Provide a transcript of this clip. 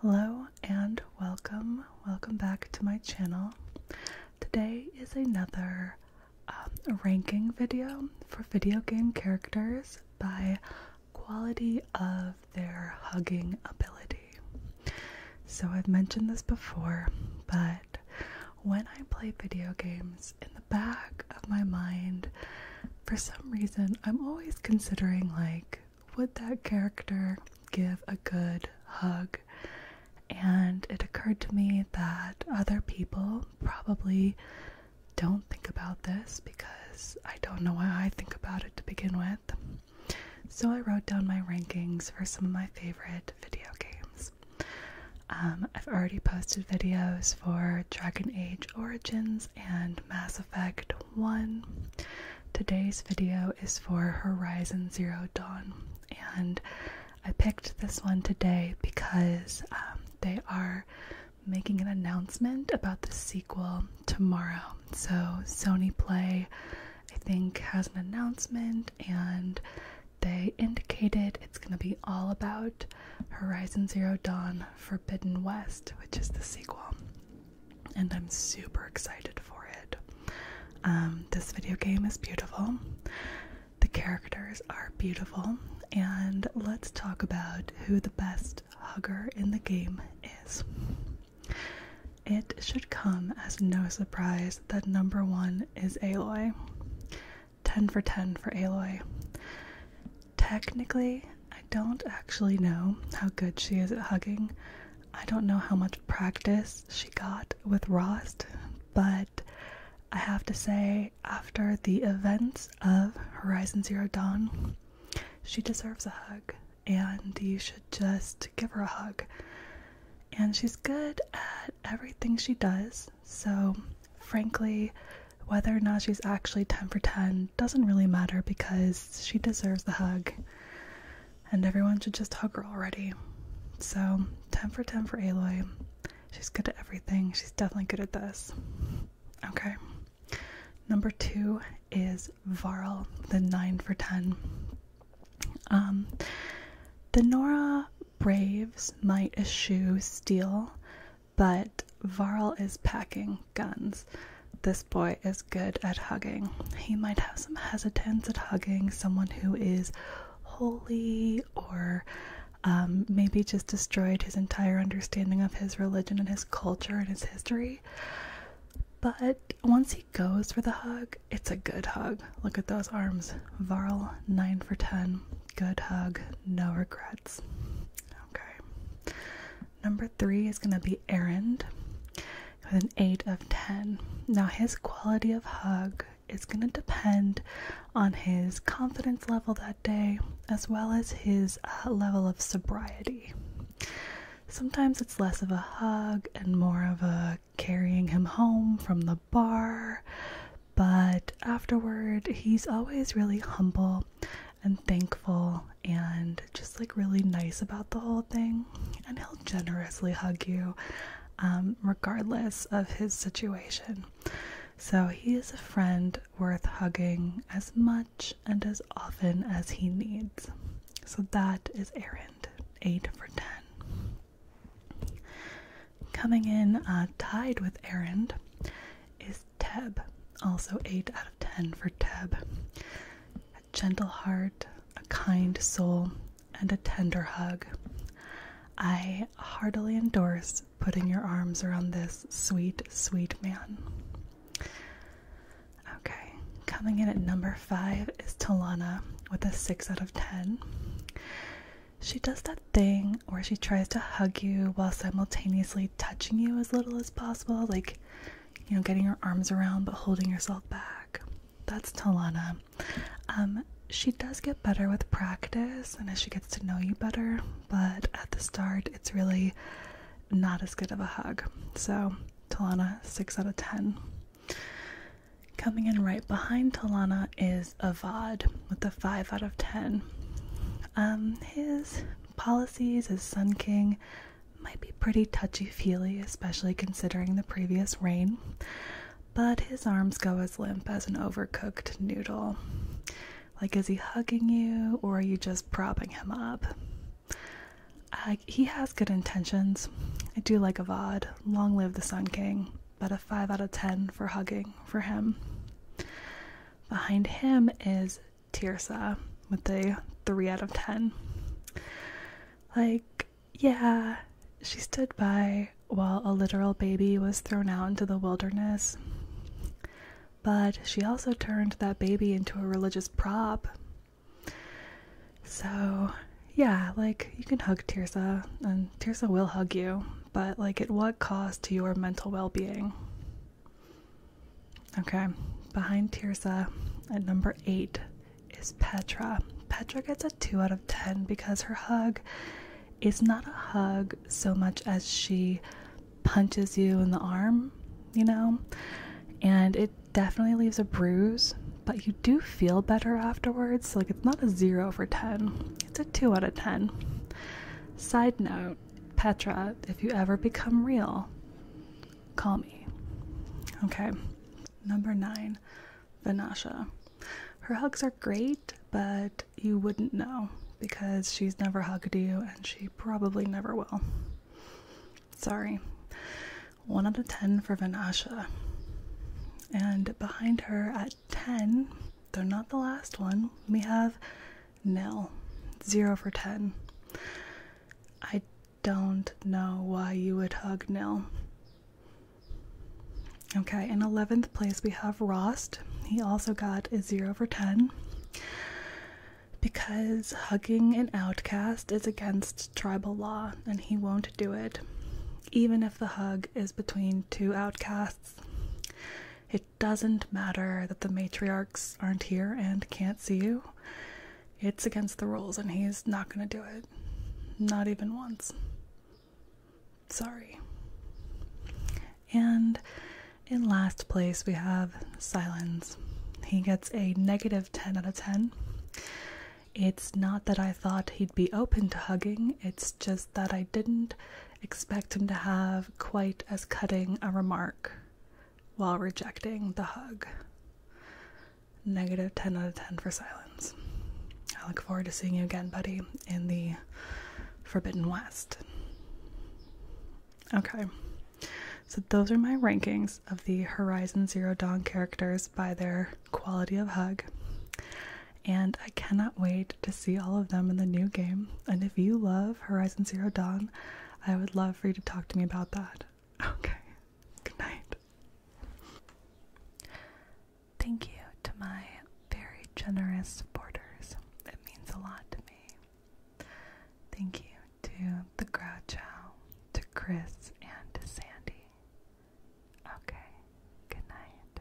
Hello and welcome, welcome back to my channel. Today is another um, ranking video for video game characters by quality of their hugging ability. So I've mentioned this before, but when I play video games, in the back of my mind, for some reason, I'm always considering like, would that character give a good hug? And it occurred to me that other people probably don't think about this because I don't know why I think about it to begin with. So I wrote down my rankings for some of my favorite video games. Um, I've already posted videos for Dragon Age Origins and Mass Effect 1. Today's video is for Horizon Zero Dawn, and I picked this one today because um, they are making an announcement about the sequel tomorrow. So, Sony Play, I think, has an announcement, and they indicated it's going to be all about Horizon Zero Dawn Forbidden West, which is the sequel. And I'm super excited for it. Um, this video game is beautiful, the characters are beautiful, and let's talk about who the best hugger in the game is. It should come as no surprise that number one is Aloy. 10 for 10 for Aloy. Technically, I don't actually know how good she is at hugging. I don't know how much practice she got with Rost, but I have to say, after the events of Horizon Zero Dawn, she deserves a hug, and you should just give her a hug. And she's good at everything she does, so, frankly, whether or not she's actually 10 for 10 doesn't really matter because she deserves the hug. And everyone should just hug her already. So, 10 for 10 for Aloy. She's good at everything. She's definitely good at this. Okay. Number two is Varl, the 9 for 10. Um, the Nora braves might eschew steel, but Varl is packing guns. This boy is good at hugging. He might have some hesitance at hugging someone who is holy or um, maybe just destroyed his entire understanding of his religion and his culture and his history. But once he goes for the hug, it's a good hug. Look at those arms. Varl, 9 for 10. Good hug, no regrets. Okay. Number three is going to be Errand with an 8 of 10. Now, his quality of hug is going to depend on his confidence level that day as well as his uh, level of sobriety. Sometimes it's less of a hug and more of a carrying him home from the bar, but afterward, he's always really humble and thankful and just like really nice about the whole thing. And he'll generously hug you um, regardless of his situation. So he is a friend worth hugging as much and as often as he needs. So that is errand 8 for 10. Coming in uh, tied with Errand is Teb, also 8 out of 10 for Teb. A gentle heart, a kind soul, and a tender hug. I heartily endorse putting your arms around this sweet, sweet man. Okay, coming in at number five is Talana with a 6 out of 10. She does that thing where she tries to hug you while simultaneously touching you as little as possible, like, you know, getting your arms around but holding yourself back. That's Talana. Um, she does get better with practice and as she gets to know you better, but at the start, it's really not as good of a hug. So, Talana, 6 out of 10. Coming in right behind Talana is is Avad with a 5 out of 10. Um, his policies as Sun King might be pretty touchy feely, especially considering the previous reign, but his arms go as limp as an overcooked noodle. Like, is he hugging you or are you just propping him up? Uh, he has good intentions. I do like Avad. Long live the Sun King but a 5 out of 10 for hugging for him. Behind him is Tirsa with a 3 out of 10. Like, yeah, she stood by while a literal baby was thrown out into the wilderness, but she also turned that baby into a religious prop. So, yeah, like, you can hug Tirsa, and Tirsa will hug you but like at what cost to your mental well being? Okay, behind Tirsa at number eight is Petra. Petra gets a 2 out of 10 because her hug is not a hug so much as she punches you in the arm, you know? And it definitely leaves a bruise, but you do feel better afterwards. Like it's not a 0 for 10. It's a 2 out of 10. Side note Petra, if you ever become real, call me. Okay. Number 9, Vanasha. Her hugs are great, but you wouldn't know because she's never hugged you and she probably never will. Sorry. 1 out of 10 for Vanasha. And behind her, at at 10, though not the last one, we have Nil, Zero for 10. I don't know why you would hug Nil. Okay, in 11th place we have Rost. He also got a 0 for 10 because hugging an outcast is against tribal law and he won't do it, even if the hug is between two outcasts. It doesn't matter that the matriarchs aren't here and can't see you. It's against the rules, and he's not going to do it. Not even once. Sorry. And in last place, we have Silence. He gets a negative 10 out of 10. It's not that I thought he'd be open to hugging, it's just that I didn't expect him to have quite as cutting a remark while rejecting the hug. Negative 10 out of 10 for silence. I look forward to seeing you again, buddy, in the Forbidden West. Okay, so those are my rankings of the Horizon Zero Dawn characters by their quality of hug and I cannot wait to see all of them in the new game. And if you love Horizon Zero Dawn, I would love for you to talk to me about that. Okay, good night. Thank you to my very generous supporters. It means a lot to me. Thank you to the Grouchow, to Chris, and to Sandy. Okay, good night.